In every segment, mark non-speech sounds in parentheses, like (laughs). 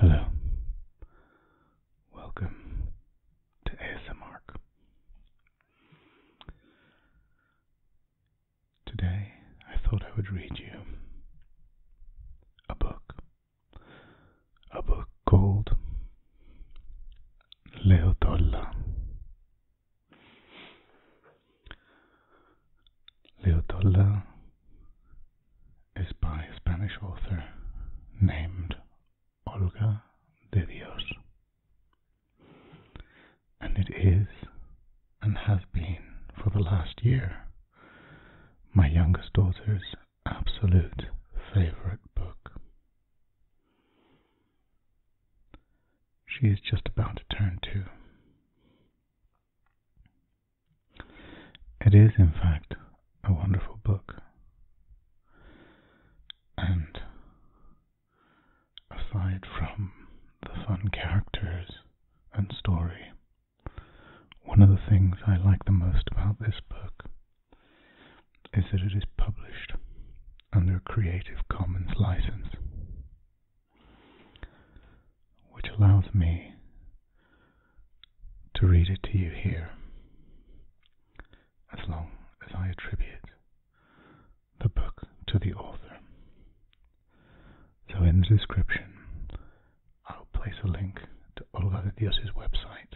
Hello. Welcome to ASMR. Today I thought I would read you a book a book called Leotolla. Leotolla is by a Spanish author named Olga de Dios, and it is and has been for the last year my youngest daughter's absolute favorite book. She is just about to turn two. It is, in fact, a wonderful book and aside from the fun characters and story, one of the things I like the most about this book is that it is published under a Creative Commons license, which allows me to read it to you here as long as I attribute the book to the author. So in the description, I'll place a link to Olga de Dios's website,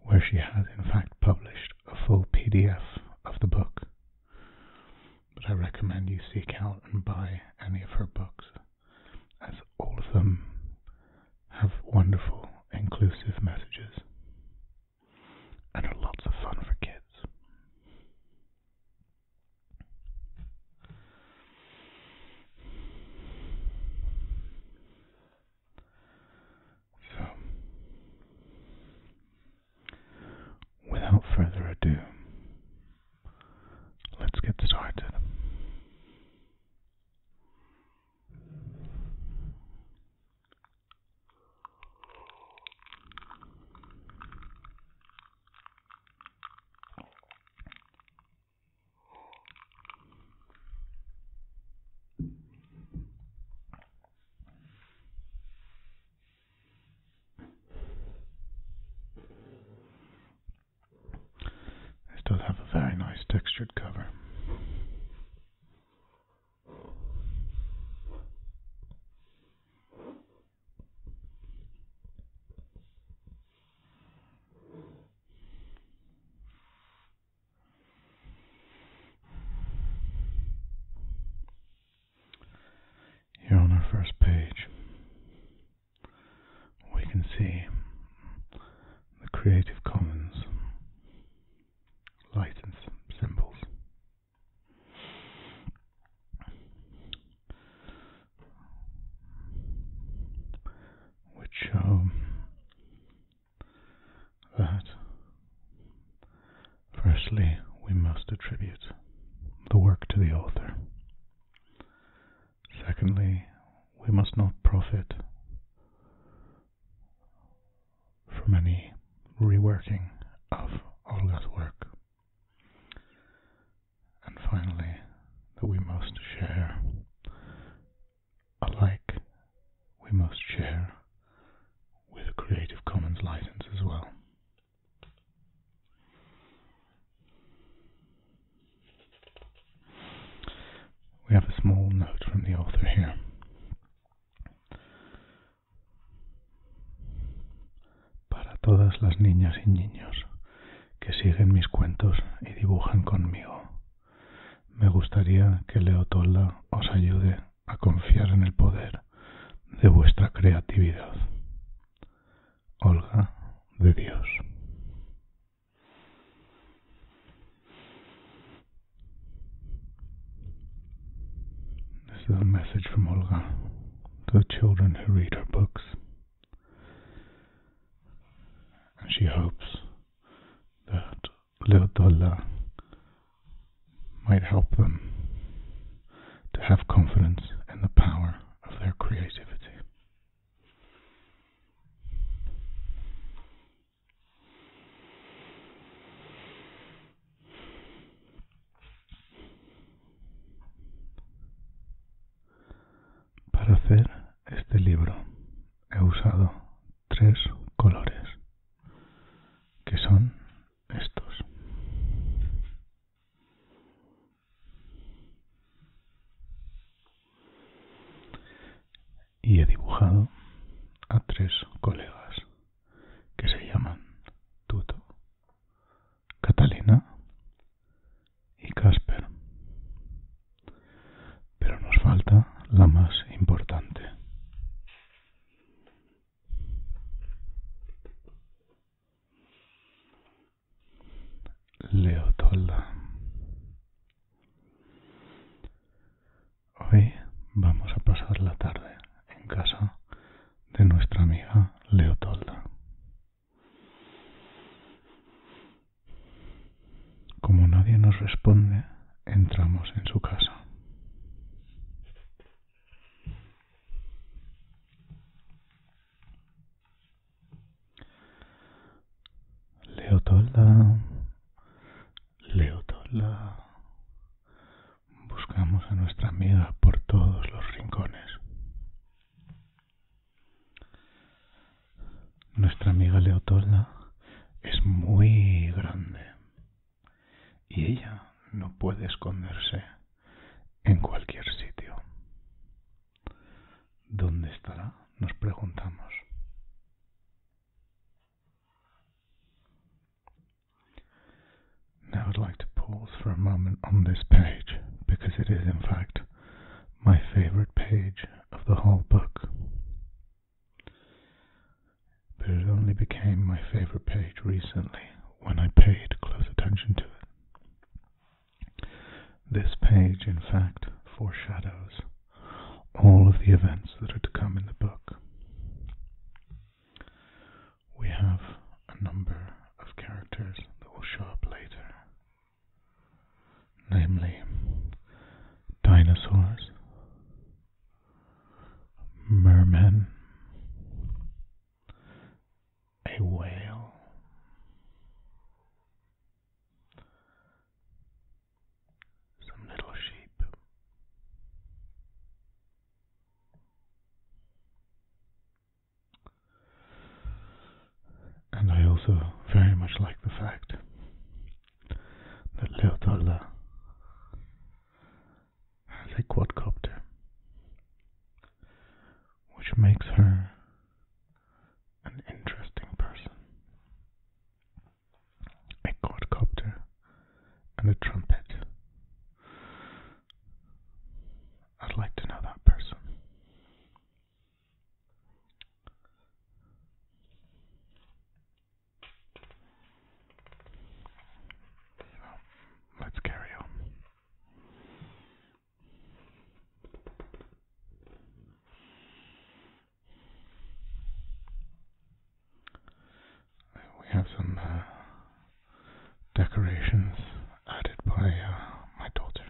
where she has in fact published a full PDF of the book. But I recommend you seek out and buy any of her books, as all of them have wonderful, inclusive messages and are lots of fun for kids. So, without further ado, let's get started. This does have a very nice textured cover. Here on our first page, we can see the Creative Commons license symbols which um, that firstly we must attribute the work to the author. Secondly, we must not profit from any reworking of Olga's work and finally, that we must share. Alike, we must share with a Creative Commons license as well. We have a small note from the author here. Para todas las niñas y niños. que siguen mis cuentos y dibujan conmigo. Me gustaría que Leotola os ayude a confiar en el poder de vuestra creatividad. Olga de Dios. And she hopes that Allah might help them to have confidence in the power of their creativity. Para hacer este libro he usado tres colores, que son estos. Y he dibujado a tres colegas que se llaman Tuto, Catalina y Casper. Pero nos falta la más importante. Leotolda. Hoy vamos a pasar la tarde en casa de nuestra amiga Leotolda. Como nadie nos responde, entramos en su casa. Leotolda, Leotolda. Buscamos a nuestra amiga por todos los rincones. Nuestra amiga Leotolda es muy grande y ella no puede esconderse en cualquier sitio. ¿Dónde estará? Nos preguntamos. my favorite page of the whole book. But it only became my favorite page recently when I paid close attention to it. This page, in fact, foreshadows all of the events that are to come in the book. We have a number of characters that will show up later namely dinosaurs, mermen, a whale, some little sheep. And I also very much like the fact that Leotarda has a quadcopter, which makes her an interesting person. A quadcopter and a trumpet. I'd like to know that person let's carry on. We have some uh, decorations added by uh, my daughter.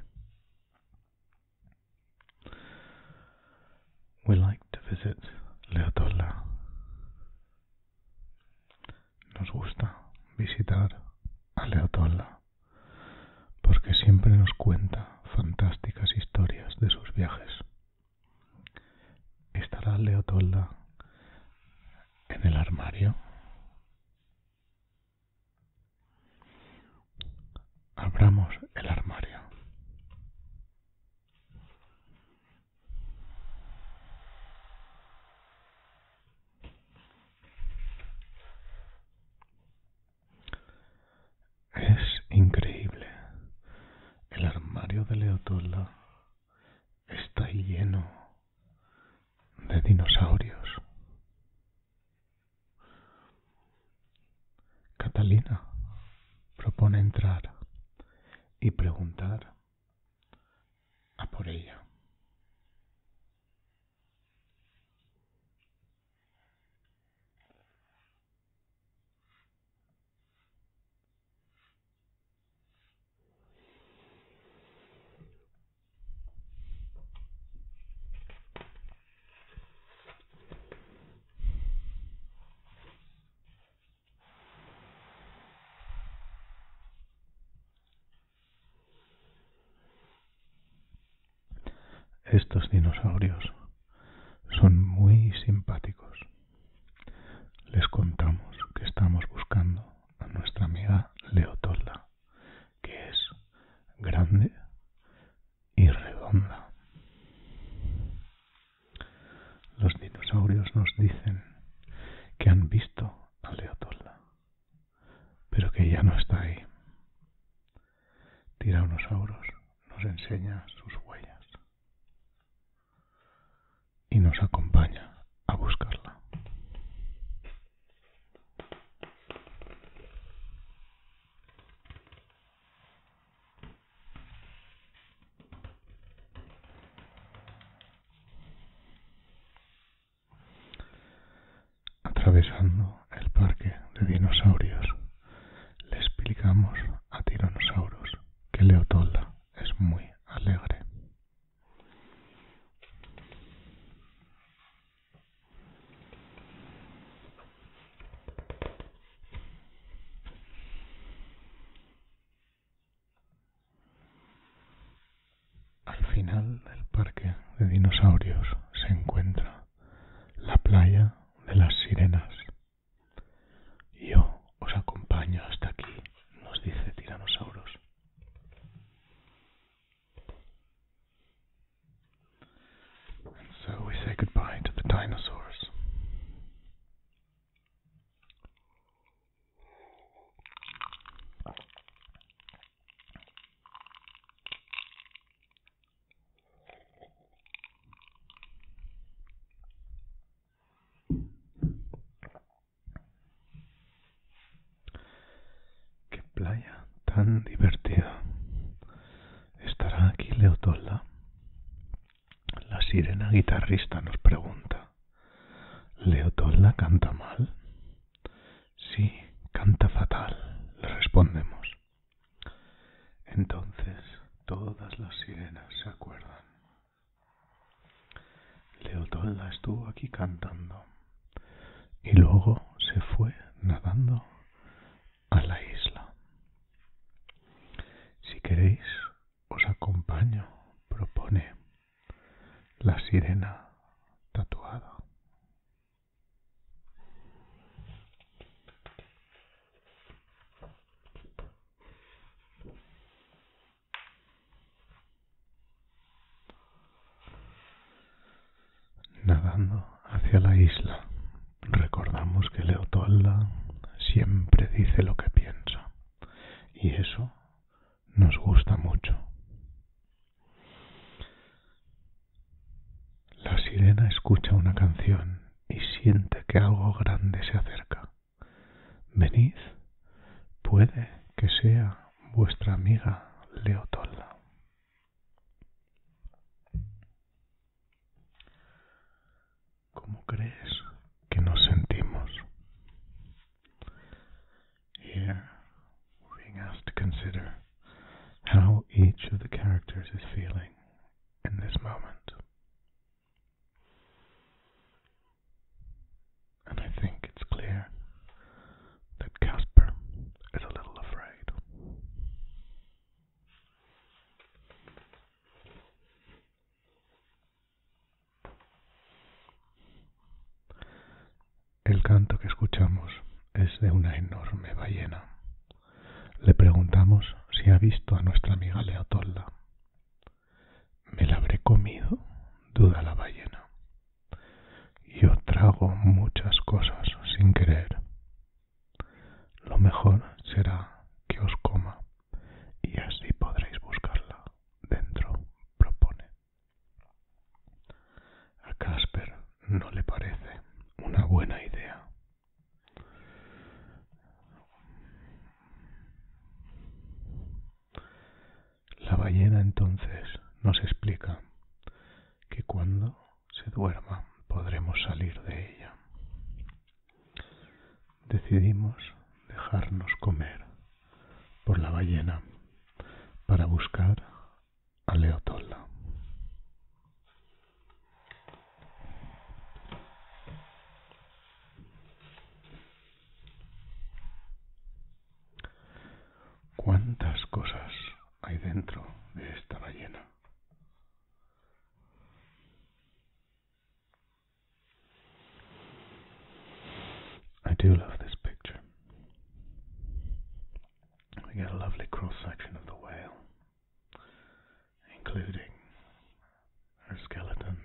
We like to visit Nos gusta visitar a Leotola porque siempre nos cuenta fantásticas historias de sus viajes. ¿Estará Leotolda en el armario? Abramos el armario. Es increíble. El armario de Leotola está lleno de dinosaurios. Catalina propone entrar y preguntar a por ella. Estos dinosaurios son muy simpáticos. Les contamos que estamos buscando a nuestra amiga Leotolda, que es grande, y redonda. Los dinosaurios nos dicen que han visto a Leotolda, pero que ya no está ahí. Tiranosaurus nos enseña sus huellas y nos acompaña a buscarla. Atravesando el parque de dinosaurios, le explicamos a Tiranosaurus que Leotolda es muy alegre. Al final del parque de dinosaurios se encuentra la playa de las sirenas. Yo os acompaño hasta aquí, nos dice Tiranosaurus. And so we say goodbye to the dinosaurs. Qué playa tan divertida. ¿Estará aquí Leotola? La sirena guitarrista nos pregunta. ¿Leotola canta mal? Sí, canta fatal, le respondemos. Entonces todas las sirenas se acuerdan. Leotola estuvo aquí cantando y luego se fue nadando a la isla. Si queréis, os acompaño, propone la sirena tatuada. Nadando hacia la isla recordamos que Leotolda siempre dice lo que piensa y eso nos gusta mucho. La sirena escucha una canción y siente que algo grande se acerca. Venid, puede que sea vuestra amiga Leotola. ¿Cómo crees que nos sentimos? Here we're being asked to consider how each of the characters is feeling in this moment. And I think it's clear that Casper is a little afraid. El canto que escuchamos es de una enorme ballena. Le preguntamos si ha visto a nuestra amiga Leotolda. ¿Me la habré comido? duda la ballena. Yo trago muchas cosas sin querer, lo mejor será que os coma y así podréis buscarla dentro, propone. A Casper no le parece una buena idea. La ballena entonces nos explica que cuando se duerma, podremos salir de ella. Decidimos dejarnos comer por la ballena para buscar a Leotolda. ¿Cuántas cosas hay dentro de esta ballena? I do love this picture. We get a lovely cross section of the whale, including her skeleton,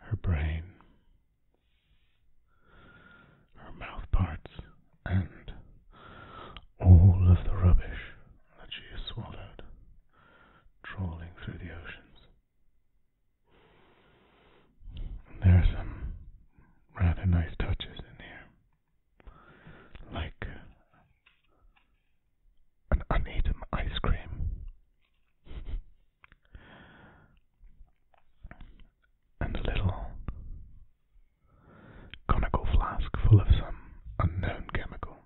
her brain, her mouth and all of the rubbish that she has swallowed, trawling through the oceans. there are some rather nice touches in here, like an uneaten ice cream. (laughs) and a little conical flask full of some unknown chemical.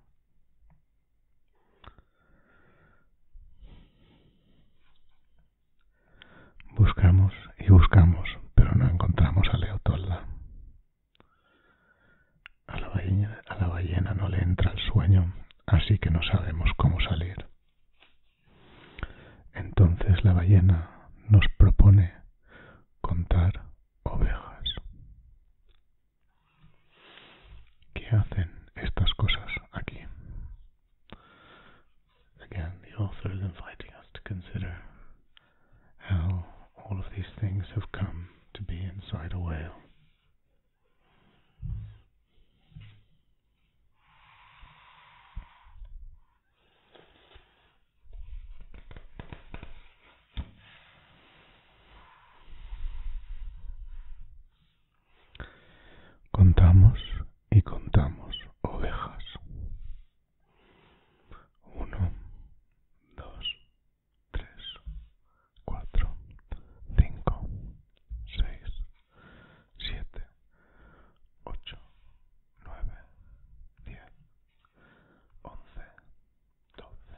Buscamos y buscamos, pero no encontramos a Leotolda. A la, ballena, a la ballena no le entra el sueño, así que no sabemos cómo salir. Entonces la ballena nos propone contar ovejas. que hacen estas cosas here? Again, the author is inviting us to consider how all of these things have come to be inside a whale. Contamos y contamos ovejas. Uno, dos, tres, cuatro, cinco, seis, siete, ocho, nueve, diez, once, doce,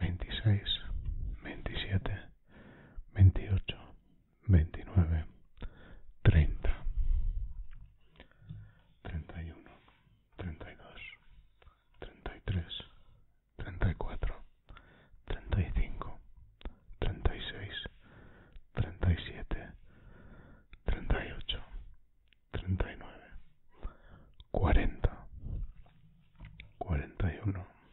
26, 27, 28, 29, 30, 31, 32, 33, 34, 35, 36, 37, 38, 39, 40, 41,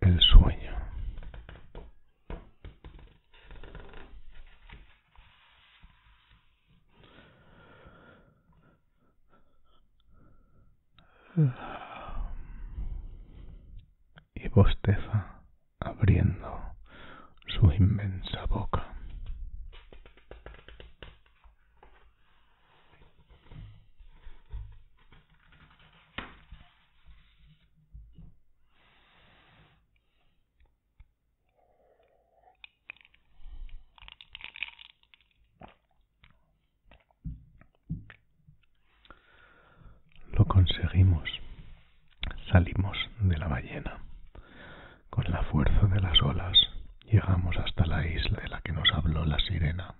el sueño. Y bosteza abriendo su inmensa boca. Lo conseguimos. Salimos de la ballena. Con la fuerza de las olas llegamos hasta la isla de la que nos habló la sirena.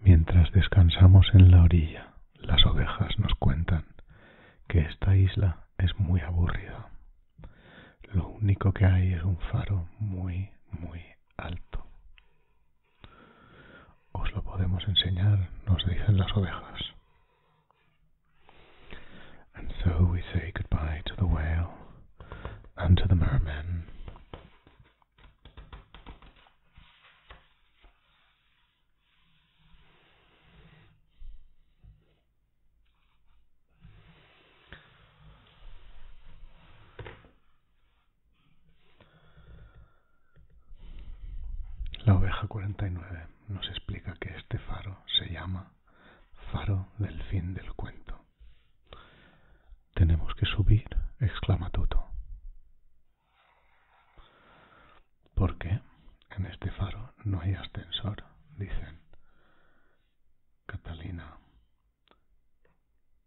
Mientras descansamos en la orilla, las ovejas nos cuentan que esta isla es muy aburrida. Lo único que hay es un faro muy, muy alto. Os lo podemos enseñar, nos dicen las ovejas. And so we say goodbye to the whale and to la oveja 49 nos explica que este faro se llama faro del fin del cuento. Tenemos que subir, exclama Toto. Porque en este faro no hay ascensor, dicen Catalina,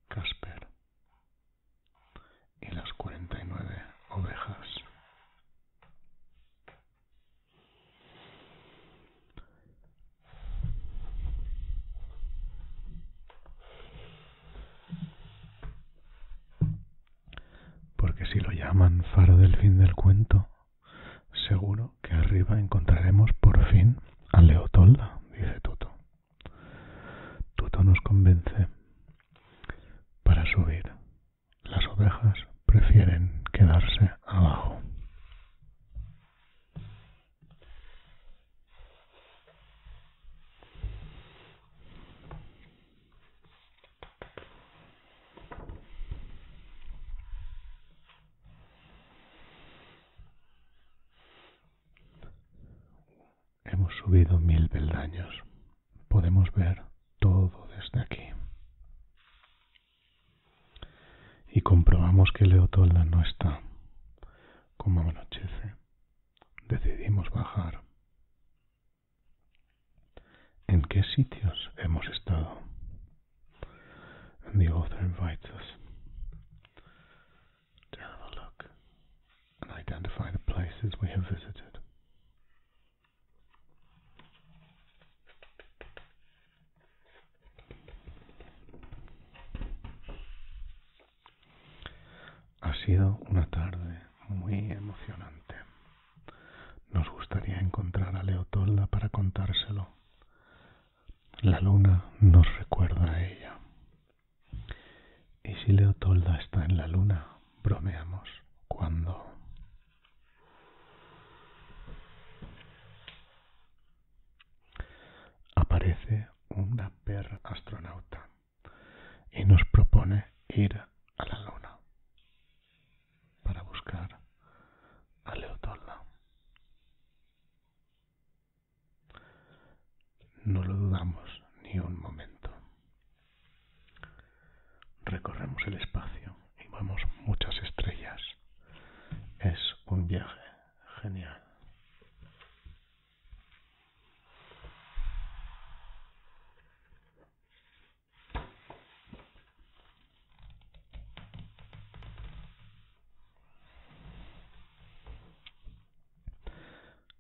Casper y las 49 ovejas. Porque si lo llaman faro del fin del cuento, seguro que arriba encontraremos por fin a Leotolda, dice Tuto. Tuto nos convence. Para subir, las ovejas prefieren quedarse abajo. Hemos subido mil peldaños. Podemos ver todo desde aquí. Y comprobamos que Leotolda no está. Como anochece, decidimos bajar. ¿En qué sitios hemos estado? And the author invites us to have a look and identify the places we have visited. Ha sido una tarde muy emocionante. Nos gustaría encontrar a Leotolda para contárselo. La luna nos recuerda a ella. ¿Y si Leotolda está en la luna? Bromeamos. ¿Cuándo? Aparece una perra astronauta y nos propone ir a la luna para buscar a Leotolda. No lo dudamos ni un momento. Recorremos el espacio y vemos muchas estrellas. Es un viaje genial.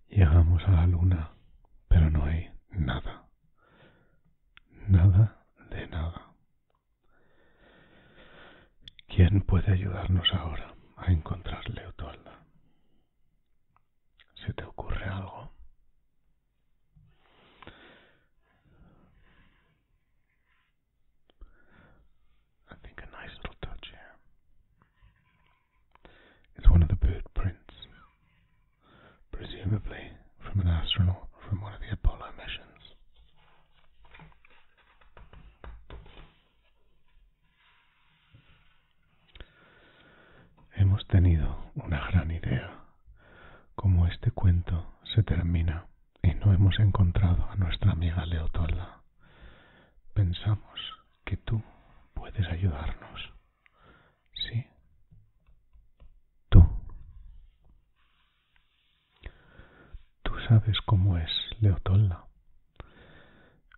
Llegamos a la luna, pero no hay nada. Nada de nada. ¿Quién puede ayudarnos ahora a encontrar Leotolda? ¿Se te I think a nice little touch here. It's one of the bird prints, presumably from an astronaut from one of the Apollo missions. Hemos tenido una gran idea. Como este cuento se termina y no hemos encontrado a nuestra amiga Leotolla. pensamos que tú puedes ayudarnos. ¿Sí? Tú. Tú sabes cómo es Leotolda.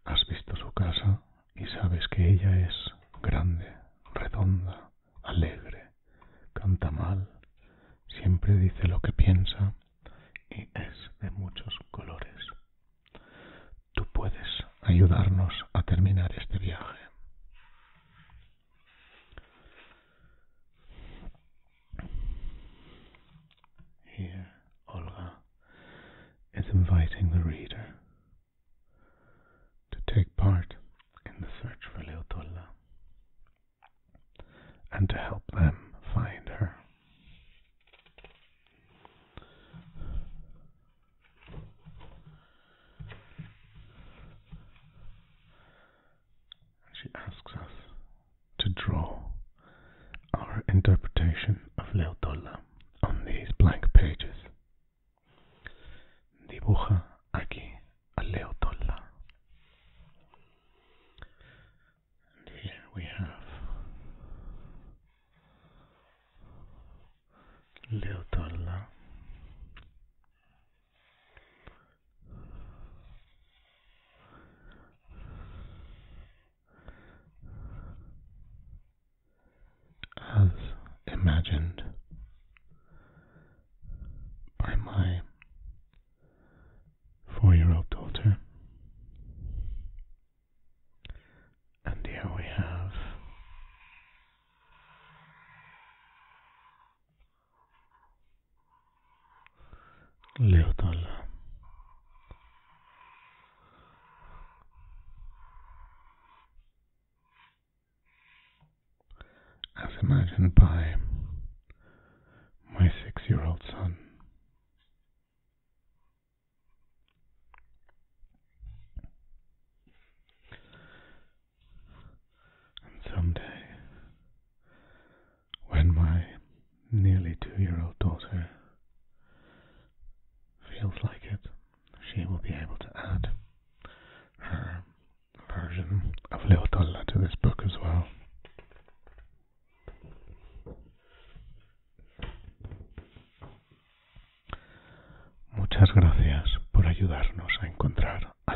Has visto su casa, y sabes que ella es grande, redonda, alegre, canta mal, siempre dice lo que piensa y es de muchos colores. Tú puedes ayudarnos a terminar este viaje. Here, Olga is inviting the reader to take part in the search for Leotolla and to help them find her. And she asks us to draw our interpretation of Leotolla on these blank pages. Dibuja aquí a Leotolla here we have Leotolla as imagined by my four year old daughter. And here we have Leotola as imagined by my six year old son. And someday, when my nearly two year old daughter feels like it, she will be able to add her version of Little Toddler to this book as well. Muchas gracias por ayudarnos a encontrar a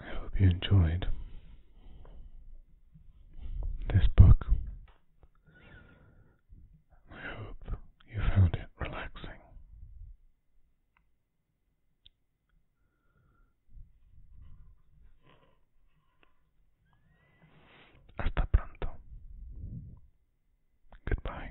I hope you enjoyed this book. I hope you found it relaxing. Hasta pronto. Goodbye.